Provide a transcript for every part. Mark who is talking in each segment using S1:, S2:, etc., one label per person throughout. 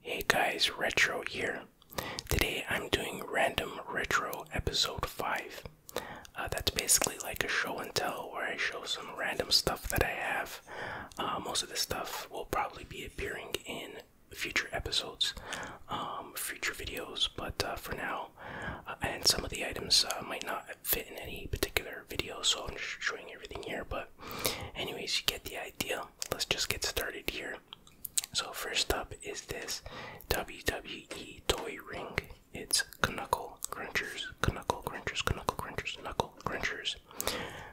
S1: Hey guys, Retro here. Today I'm doing Random Retro Episode 5. Uh, that's basically like a show and tell where I show some random stuff that I have. Uh, most of the stuff will probably be appearing in future episodes, um, future videos, but uh, for now, and some of the items might not fit in any particular video, so I'm just showing everything here. But, anyways, you get the idea let's just get started here. So, first up is this WWE toy ring. It's Knuckle Crunchers, Knuckle Crunchers, Knuckle Crunchers, Knuckle Crunchers.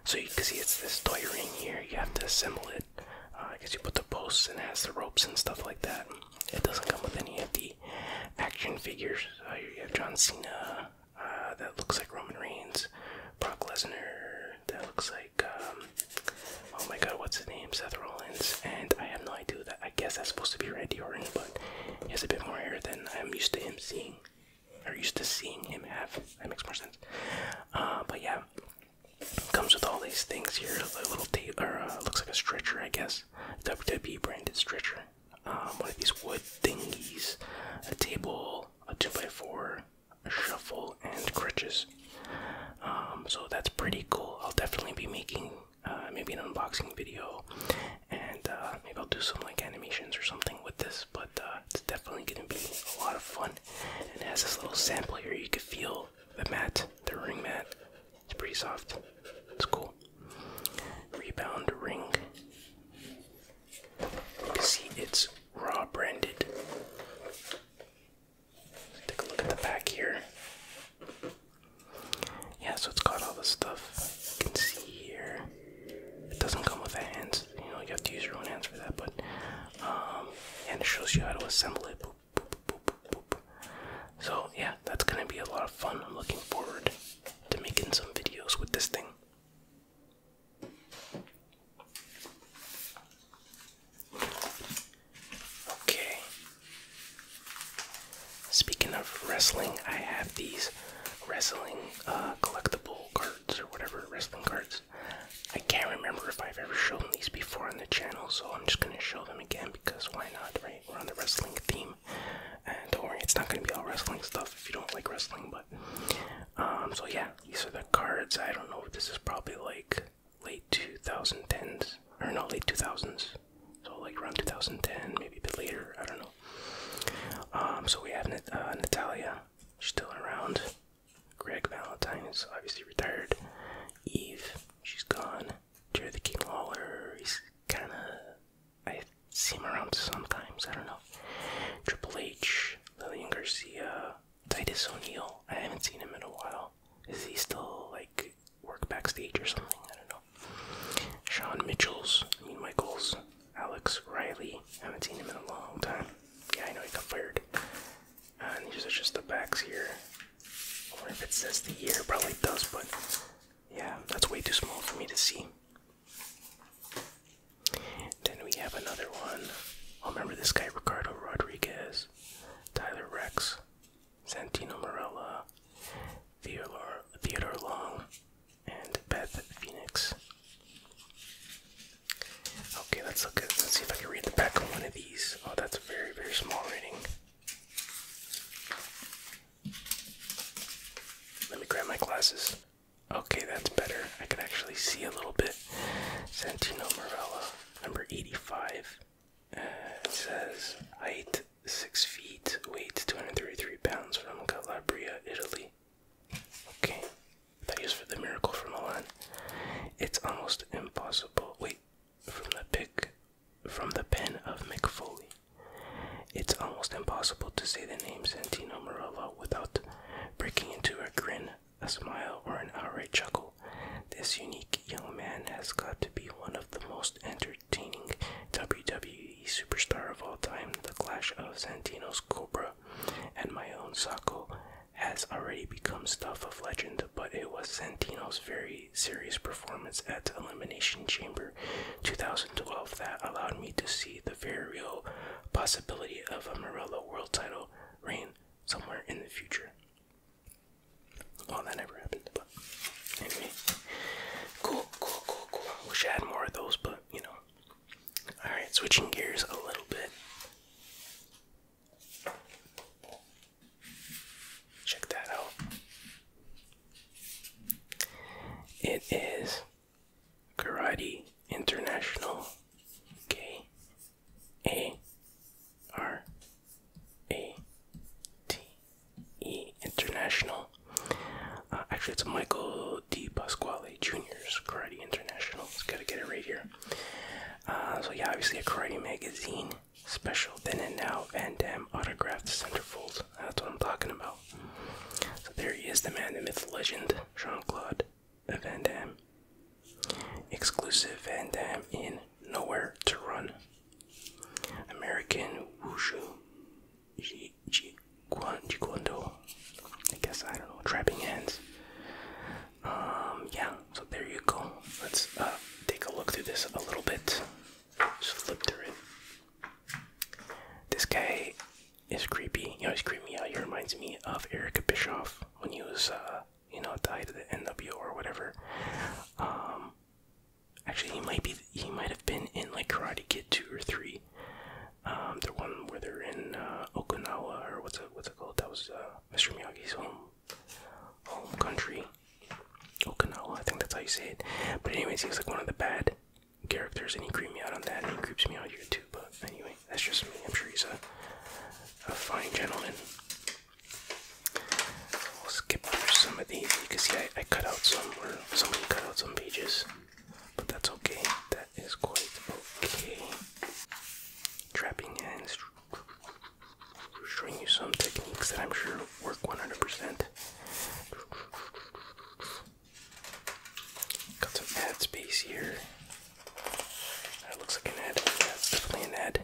S1: So, you can see it's this toy ring here. You have to assemble it. Uh, I guess you put the posts and has the ropes and stuff like that. It doesn't come with any of the action figures. Uh, you have John Cena, uh, that looks like Roman Reigns, Brock Lesnar. That looks like um, oh my god, what's the name? Seth Rollins. And I have no idea that. I guess that's supposed to be Randy Orton, but he has a bit more hair than I'm used to him seeing, or used to seeing him have. That makes more sense. Uh, but yeah, comes with all these things here. A little tape, uh, looks like a stretcher, I guess. WWE branded stretcher. Um, one of these wood thingies, a table, a two by four, shuffle, and crutches.
S2: Um, so that's pretty cool. I'll definitely be making uh, maybe an unboxing
S1: video, and uh, maybe I'll do some like animations or something with this. But uh, it's definitely going to be a lot of fun. And it has this little sample here. You can feel the mat, the ring mat. It's pretty soft. It's cool. Rebound ring. You can See, it's raw branded. Take a look at the back here. Yeah, so it's got all the stuff you can see here. It doesn't come with hands, you know, you have to use your own hands for that, but um, and it shows you how to assemble it. So, yeah, that's gonna be a lot of fun. I'm looking forward to making some videos with this thing. Okay. Speaking of wrestling, I have these wrestling uh, collectible cards or whatever wrestling cards. I can't remember if I've ever shown these before on the channel, so I'm just gonna show them again because why not, right? We're on the wrestling theme. And don't worry, it's not gonna be all wrestling stuff if you don't like wrestling, um, so yeah these are the cards i don't know this is probably like late 2010s or no late 2000s so like around 2010 maybe a bit later i don't know um, so we have Nat uh, natalia still around greg valentine is obviously retired eve she's gone Jerry the King Lawler, he's kind of. I see him around sometimes, I don't know. Triple H, Lillian Garcia, Titus O'Neil. I haven't seen him in a while. Is he still like work backstage or something? I don't know. Sean Mitchell's, I mean Michaels, Alex Riley. I haven't seen him in a long time. Yeah, I know he got fired. and these are just the backs here. I wonder if it says the year. Probably does, but yeah, that's way too small for me to see. Then we have another one. I oh, remember this guy Ricardo Rodriguez, Tyler Rex, Santino Morella, Theodore, Theodore Long, and Beth Phoenix. Okay, let's look let's see if I can read the back of one of these. Oh, that's a very, very small reading. Let me grab my glasses. Okay, that's better. I can actually see a little bit. Santino Morella, number 85. it says height 6 feet, weight 233 pounds from Calabria, Italy. Okay, that is for the Miracle from Milan. It's almost impossible. Wait, from the pick, from the pen of Mick Foley. It's almost impossible to say the name Santino Morella without breaking into a grin a smile, or an outright chuckle. This unique young man has got to be one of the most entertaining WWE superstar of all time. The clash of Santino's Cobra and my own Sako has already become stuff of legend, but it was Santino's very serious performance at Elimination Chamber 2012 that allowed me to see the very real possibility of a Morello world title reign somewhere in the future. Oh, that never happened, but anyway. Cool, cool, cool, cool. Wish I had more of those, but you know. Alright, switching gears a little bit. Check that out. It is Karate International. Okay. A R A T E International. Uh, actually, it's Michael D. Pasquale Jr.'s Karate International. Just gotta get it right here. Uh, so, yeah, obviously, a karate magazine special. Then and now, and damn autographed centerfolds. That's what I'm talking about. So, there he is, the man, the myth, legend, Jean Claude Van Dam. Exclusive Van Dam in Nowhere to Run. American Wushu Ji Jiguando. I guess I don't know. Trapping hands. Um yeah, so there you go. Let's uh take a look through this a little bit. Just flip through it. This guy is creepy. You know, he's creepy out. He reminds me of Erica Bischoff when he was uh, you know tied to the NWO or whatever. Um, actually, he might be he might have been in like Karate Kid two or three. Um, the one where they're in uh, Okinawa or what's it what's it called? That was uh, Mr. Miyagi's home home country. Okinawa, I think that's how you say it. But anyways, he's like one of the bad characters, and he creeped me out on that, and he creeps me out here but anyway, that's just me. I'm sure he's a, a fine gentleman. We'll skip through some of these. You can see I, cut out some, or cut out some pages, but that's okay. That is quite okay. Trapping hands, showing you some techniques that I'm sure work 100%. Got some ad space here. That looks like an head. That's definitely an head.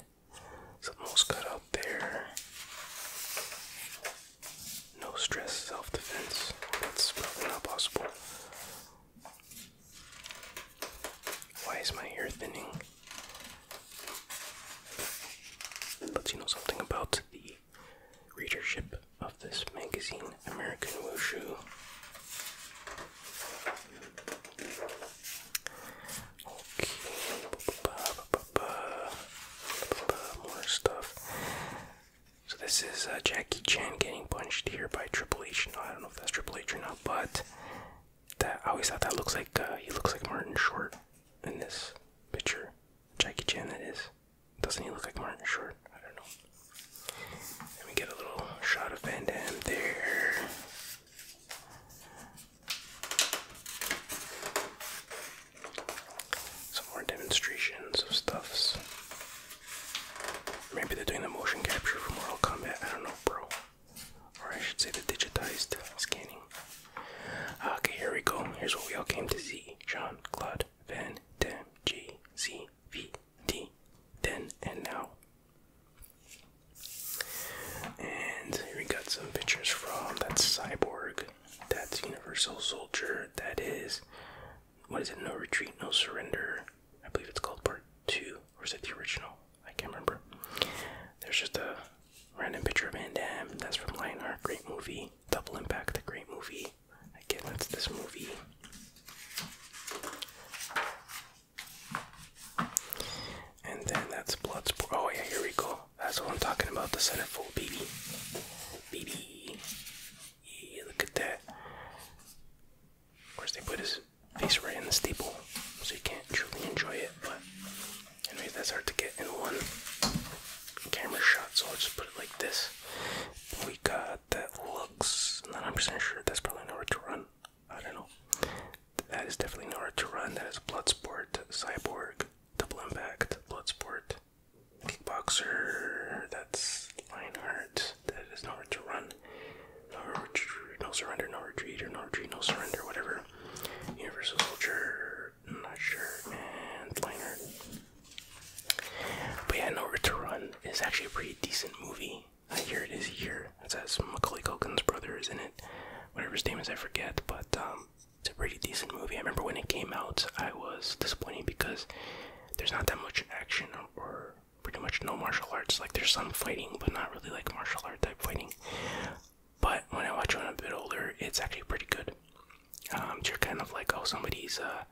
S1: Something else cut out there. No stress self defense. That's probably not possible. Why is my hair thinning? But you know something about the readership of this magazine, American Wushu. Okay. More stuff. So this is Jackie Chan getting punched here by Triple H. No, I don't know if that's Triple H or not, but I always thought that looks like he looks like Martin Short in this picture. Jackie Chan, that is. Doesn't he look like Martin Short? I don't know. Let me get a little shot of Van Damme there. Some more demonstrations of stuffs. Maybe they're doing the motion capture from Mortal Combat. I don't know, bro. Or I should say the digitized scanning. Okay, here we go. Here's what we all came to see. John, Claude Van Damme G C V D then and now. And here we got some pictures from that cyborg, that's Universal Soldier, that is, what is it, No Retreat, No Surrender, I believe it's called Part 2, or is it the original? I can't remember. There's just a random picture of Van that's from Lionheart, great movie, Double Impact, The great movie, again, that's this movie. And then that's Bloodsport. Oh, yeah, here we go. That's what I'm talking about. The centerfold, baby. Baby. look at that. Of course, they put his face right in the staple, so he can't truly enjoy it. But, anyway, that's hard to get in one camera shot, so I'll just put it like this. We got that looks. Not 100% sure. That's probably nowhere to run. I don't know. That is definitely nowhere to run. That is Bloodsport, Cyborg, Double Impact, Bloodsport, Kickboxer. That's Lionheart. That is nowhere to run. No, no surrender, no retreat, no retreat, no surrender, whatever. Universal Soldier, not sure, and Lionheart. But yeah, Nowhere to Run is actually a pretty decent movie. I hear it is here. It says Macaulay Culkin's brother is in it. Whatever his name is, I forget. But um, it's a pretty decent movie. I remember when it came out, I was disappointed because there's not that much action or, pretty much no martial arts. Like there's some fighting, but not really like martial art type fighting. But when I watch it when I'm a bit older, it's actually pretty good. Um, you're kind of like, oh, somebody's, uh,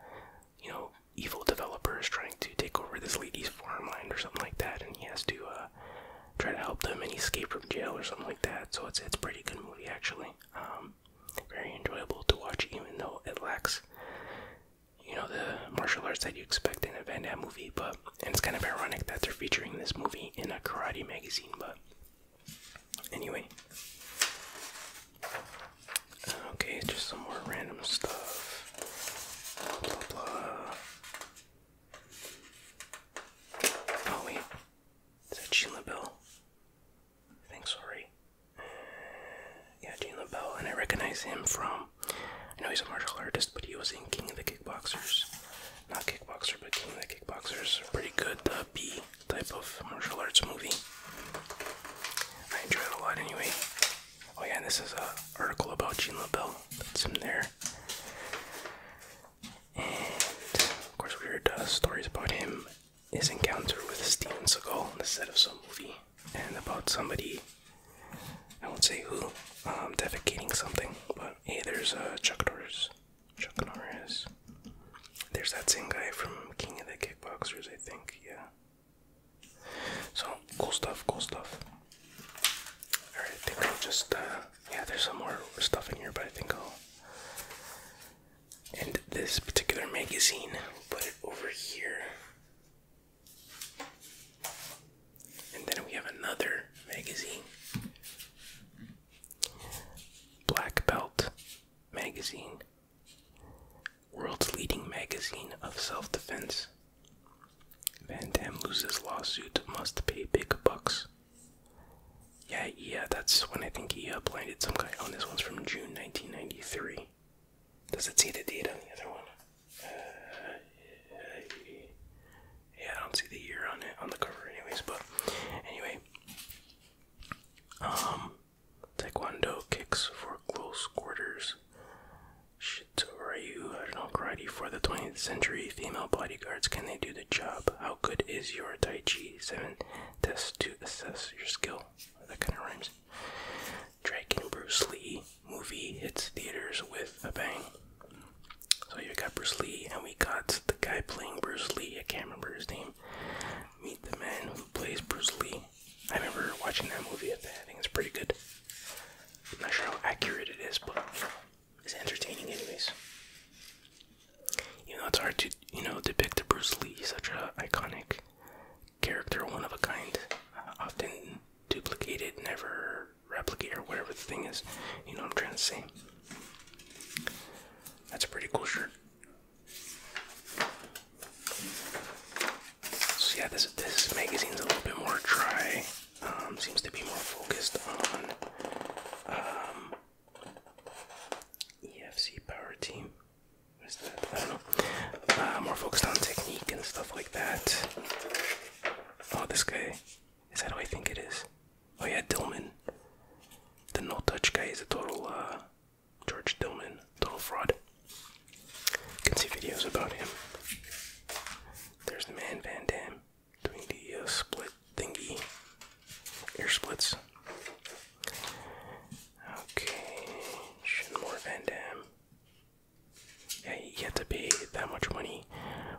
S1: you know, know, evil developers trying to take over this lady's farmland or something like that, and he has to uh, try to help them and escape from jail or something like that. So it's it's a pretty good movie actually. Um, very enjoyable to watch, even though it lacks, you know, the martial arts that you expect in a Van Damme movie. But and it's kind of ironic that they're featuring this movie in a karate magazine. But anyway. Okay, just some more random stuff. Blah, blah. Oh, wait. Is that Jean LaBelle? I think so, right? Uh, yeah, Jean LaBelle. And I recognize him from. I know he's a martial artist, but he was in King of the Kickboxers. Not Kickboxer, but King of the Kickboxers. Pretty good uh, B type of martial arts movie. I enjoy a lot anyway. Oh yeah, this is a article about Jean LaBelle. That's in there. And of course, we heard uh, stories about him, his encounter with Steven Seagal on the set of some movie, and about somebody. I won't say who, um, defecating something, but hey, there's uh, Chuck Norris. Chuck Norris. There's that same guy from King of the Kickboxers, I think. Yeah. So cool stuff, cool stuff. Alright, I think I'll just uh yeah, there's some more stuff in here, but I think I'll end this particular magazine, put it over here. And then we have another magazine. Black Belt Magazine. World's leading magazine of self defense Van Dam loses lawsuit, must pay big bucks. Yeah, yeah, that's when I think he uh, blinded some guy. on oh, this one's from June 1993. Does it see the date on the other one? Uh, yeah, I don't see the year on it on the cover, anyways. But anyway, um, Taekwondo kicks for close quarters. Shitoryu Nokrati for the 20th century female bodyguards. Can they do the job? How good is your Tai Chi? 7 tests to assess your skill. That kind of rhymes. Dragon Bruce Lee movie hits theaters with a bang. So you got Bruce Lee, and we got the guy playing Bruce Lee. I can't remember his name. Meet the man who plays Bruce Lee. I remember watching that movie. I think it's pretty good. I'm not sure how accurate it is, but it's entertaining, anyways. You know, it's hard to you know depict a Bruce Lee, such a iconic character, one of a kind, often duplicated, never replicated, or whatever the thing is. You know I'm trying to say. That's a pretty cool shirt. So yeah, this this magazine's a little bit more dry. Um, seems to be more focused on um, EFC Power Team. What is that? I don't know. Uh, more focused on technique and stuff like that. Oh, this guy. Is that who I think it is? Oh yeah, Dilman. The no touch guy is a total uh, George Dilman total fraud. You can see videos about him. There's the man Van Dam doing the uh, split thingy, Ear splits. Okay, more Van Dam. Yeah, he had to pay that much money,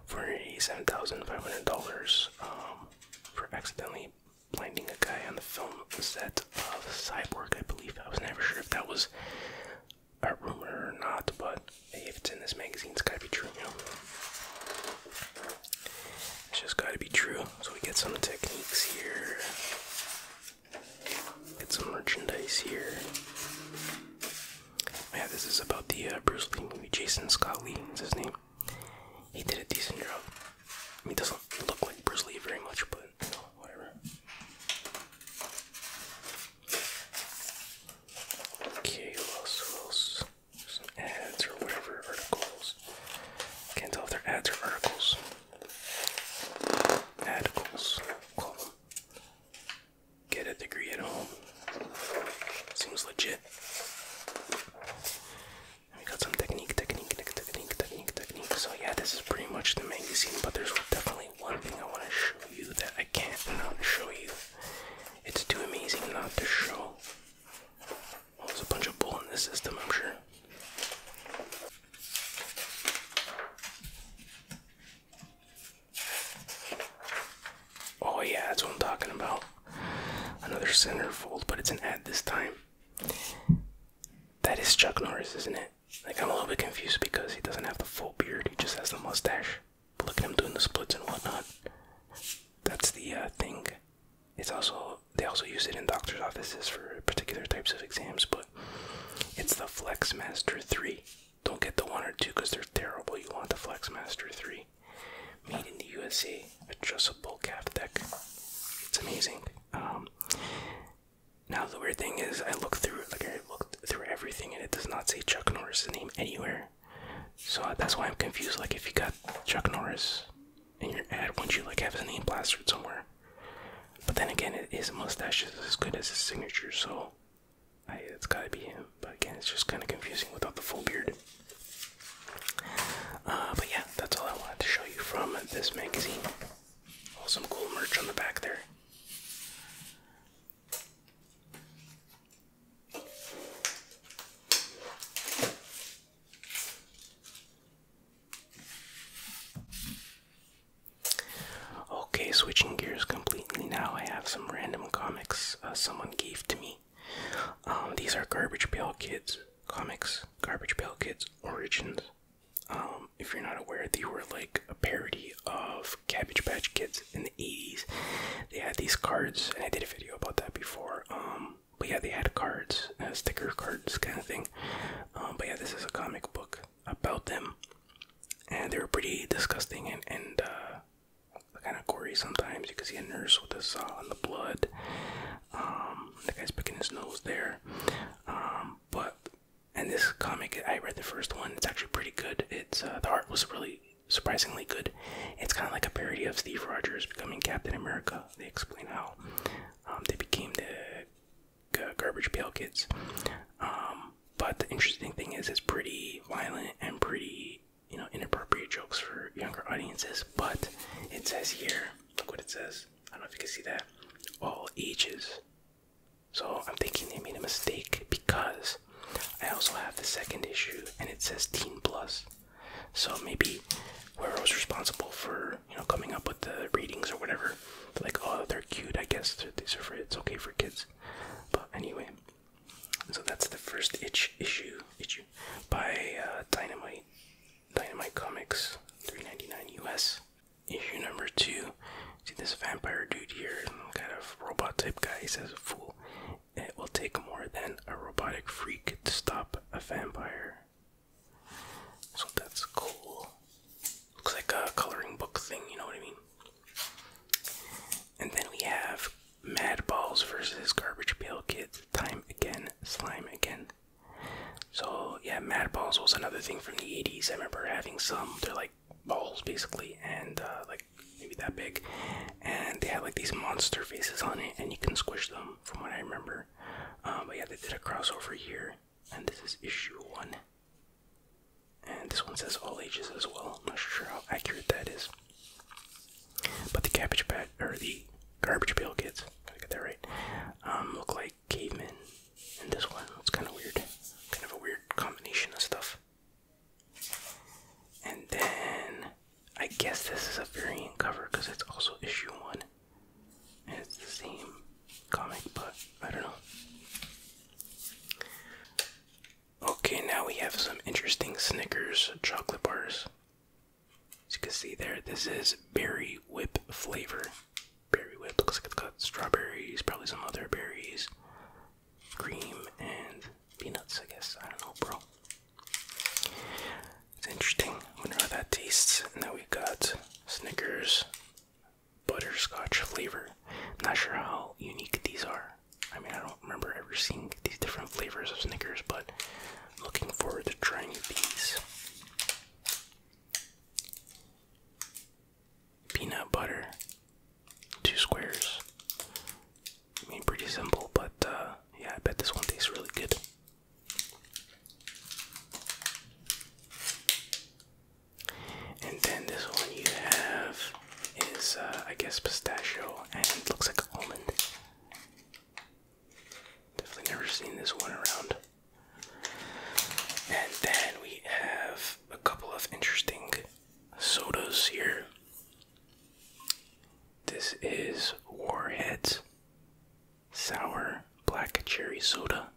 S1: forty-seven thousand five hundred dollars, um, for accidentally blinding a guy on the film set of Cyborg, I believe. I was never sure if that was a rumor or not, but hey, if it's in this magazine, it's gotta be true, It's just gotta be true. So we get some techniques here, get some merchandise here. Oh, yeah, this is about the uh, Bruce Lee movie. Jason Scott Lee is his name. He did a decent job. He doesn't look like Bruce Lee very much, but whatever. Okay, what else, what else? Some ads or whatever, articles. Can't tell if they're ads or articles. Articles, Get a degree at home. Seems legit. we got some technique, technique, technique, technique, technique. So yeah, this is pretty much the magazine, but there's definitely one thing I want to show you that I can't not show you. It's too amazing not to show. there's a bunch of bull in the system, I'm sure.
S2: Oh yeah, that's what I'm talking about. Another centerfold, but it's an ad this time. That is Chuck Norris, isn't it? Like, I'm a little bit
S1: confused because he doesn't have the full beard, he just has the mustache. But look at him doing the splits and whatnot. That's the uh, thing. It's also, they also use it in doctor's offices for particular types of exams, but it's the FlexMaster 3. Don't get the 1 or 2 because they're terrible. You want the FlexMaster 3. Made in the USA, adjustable calf deck. It's amazing. Um, now the weird thing is, I looked through like I looked through everything, and it does not say Chuck Norris' name anywhere. So that's why I'm confused. Like if you got Chuck Norris in your ad, wouldn't you like have his name plastered somewhere? But then again, his mustache is as good as his signature, so it's gotta be him. But again, it's just kind of confusing without the full beard. Uh, but yeah, that's all I wanted to show you from this magazine. Oh, some cool merch on the back there. Okay, switching gears completely now. I have some random comics uh, someone gave to me. Um, these are Garbage Pail Kids comics, Garbage Pail Kids Origins. Um, um, if you're not aware, they were like a parody of Cabbage Patch Kids in the 80s. They had these cards, and I did a video about that before. Um, but yeah, they had cards, uh, sticker cards, kind of thing. Um, but yeah, this is a comic book about them, and they were pretty disgusting and and uh, kind of gory sometimes. You can see a nurse with a saw on the blood. the guy's picking his nose there. but and this comic i read the first one it's actually pretty good it's uh, the art was really surprisingly good it's kind of like a parody of steve rogers becoming captain america they explain how um, they became the garbage pail kids um, but the interesting thing is it's pretty violent and pretty you know inappropriate jokes for younger audiences but it says here look what it says i don't know if you can see that all ages so I'm thinking they made a mistake because I also have the second issue and it says teen plus. So maybe whoever was responsible for you know coming up with the readings or whatever, like oh they're cute, I guess these are for it's okay for kids. But anyway, so that's the first itch issue issue by uh, Dynamite Dynamite Comics, 3.99 US. Issue number two See this vampire dude here, kind of robot type guy, he says a fool. It will take more than a robotic freak to stop a vampire. So that's cool. Looks like a coloring book thing, you know what I mean? And then we have Madballs versus Garbage Pail Kids. Time again, slime again. So yeah, Madballs was another thing from the 80s. I remember having some. They're like like balls basically, and uh, like maybe that big, and they had like these monster faces on it, and you can squish them from what I remember. Um, but yeah, they did a crossover here, and this is issue one. And this one says all ages as well. I'm not sure how accurate that is. But the cabbage patch or the garbage pail kids, I get that right, um, look like cavemen in this one. It's kind of weird, kind of a weird combination of stuff. And then I guess this is a variant cover because it's also issue one. And it's the same comic, but I don't know. Okay, now we have some interesting Snickers chocolate bars. As you can see there, this is berry whip flavor. Berry whip looks like it's got strawberries, probably some other berries, cream and peanuts, I guess. I don't know, bro. It's interesting. I wonder how that tastes. And then we got Snickers butterscotch flavor. not sure how unique these are. I mean, I don't remember ever seeing these different flavors of Snickers, but I'm looking forward to trying these peanut butter, two squares. I mean, pretty simple, but uh, yeah, I bet this one tastes really good. And then this one you have is, uh, I guess, pistachio, and looks like almond. Definitely never seen this one around. And then we have a couple of interesting sodas here. This is Warheads Sour Black Cherry Soda.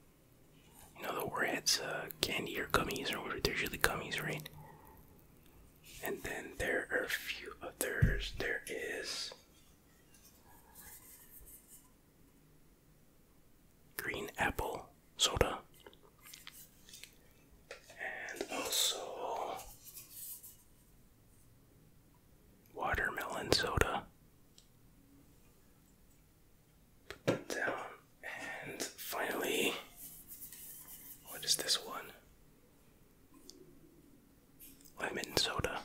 S1: You know the Warheads uh, candy or gummies, or whatever they're usually gummies, right? And then there are a few others. There is green apple soda and also watermelon soda. Put down, and finally, what is this one? Lemon soda.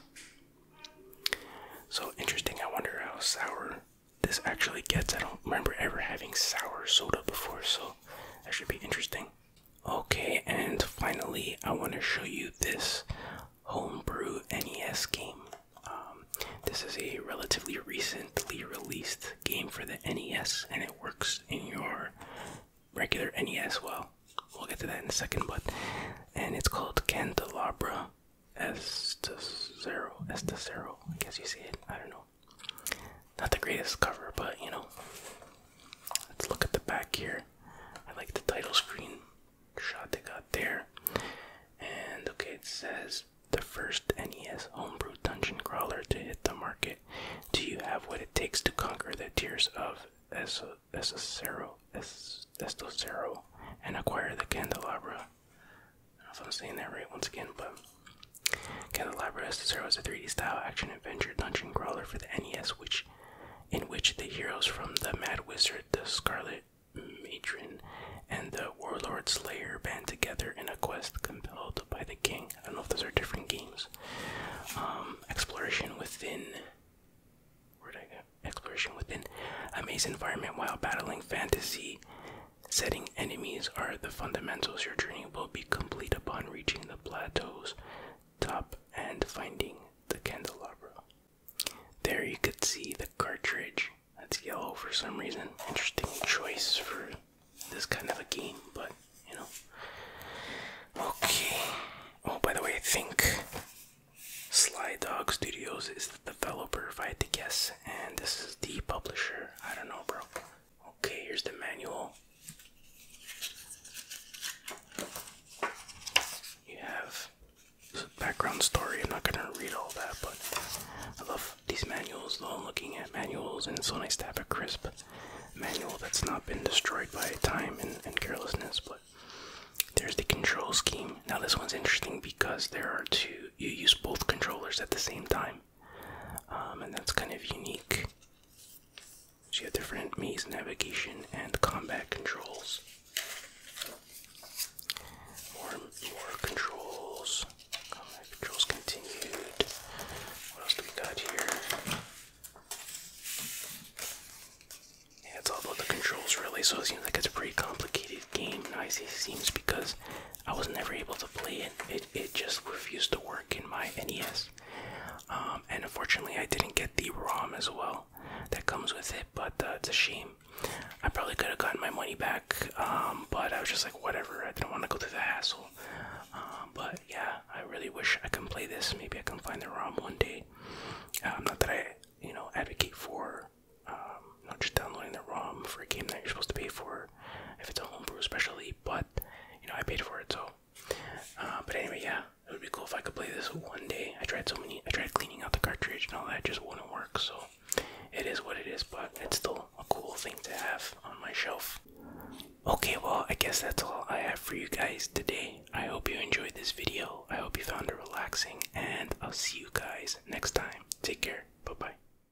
S1: So interesting, I wonder how sour this actually gets. I don't remember ever having sour soda before, so that should be interesting. Okay, and finally, I want to show you this homebrew NES game. Um, this is a relatively recently released game for the NES, and it works in your regular NES. Well, we'll get to that in a second, but and it's called Candelabra Estacero. Estacero, I guess you see it. I don't know. Not the greatest cover, but you know. Let's look at the back here. I like the title screen shot they got there. And okay, it says the first NES homebrew dungeon crawler to hit the market. Do you have what it takes to conquer the tears of Estocero es es and acquire the candelabra? I don't know if I'm saying that right once again, but The Library SSR is a 3D style action adventure dungeon crawler for the NES, which in which the heroes from the Mad
S2: Wizard, the Scarlet Matron, and the Warlord Slayer band together in a quest compelled by the king. I don't know if those are different games. Um, exploration within. Where'd I go? Exploration within a maze environment while battling fantasy Setting
S1: enemies are the fundamentals. Your journey will be complete upon reaching the plateau's top and finding the candelabra. There you could see the cartridge. That's yellow for some reason. Interesting choice for this kind of a game, but you know. Okay. Oh, by the way, I think Sly Dog Studios is the developer, if I had to guess, and this is the publisher. I don't know, bro. Okay, here's the manual. You have background story. I'm not gonna read all that, but I love these manuals. Though I'm looking at manuals, and it's so nice to have a crisp manual that's not been destroyed by time and, and carelessness. But there's the control scheme. Now this one's interesting because there are two. You use both controllers at the same time. Um, and that's kind of unique. So you have different maze navigation and combat controls. More, controls. controls continued. What else do we got here? it's all about the controls, really. So it seems like it's a pretty complicated game. I say seems because I was never able to play it. It it just refused to work in my NES. Um, and unfortunately, I didn't get the ROM as well that comes with it. But uh, it's a shame. I probably could have gotten my money back, um, but I was just like, whatever. I didn't want to go through the hassle. Um, but yeah, I really wish I can play this. Maybe I can find the ROM one day. not that I, you know, advocate for not just downloading the ROM for a game that you're supposed to pay for if it's a homebrew especially, but you know, I paid for it, so uh, but anyway, yeah, it would be cool if I could play this one day. I tried so many, I tried cleaning out the cartridge and all that, just wouldn't work, so it is what it is, but it's still a cool thing to have on my shelf. Okay, well, I guess that's all I have for you guys today. I hope you enjoyed this video. I hope you found it relaxing, and I'll see you guys next time. Take care. Bye bye.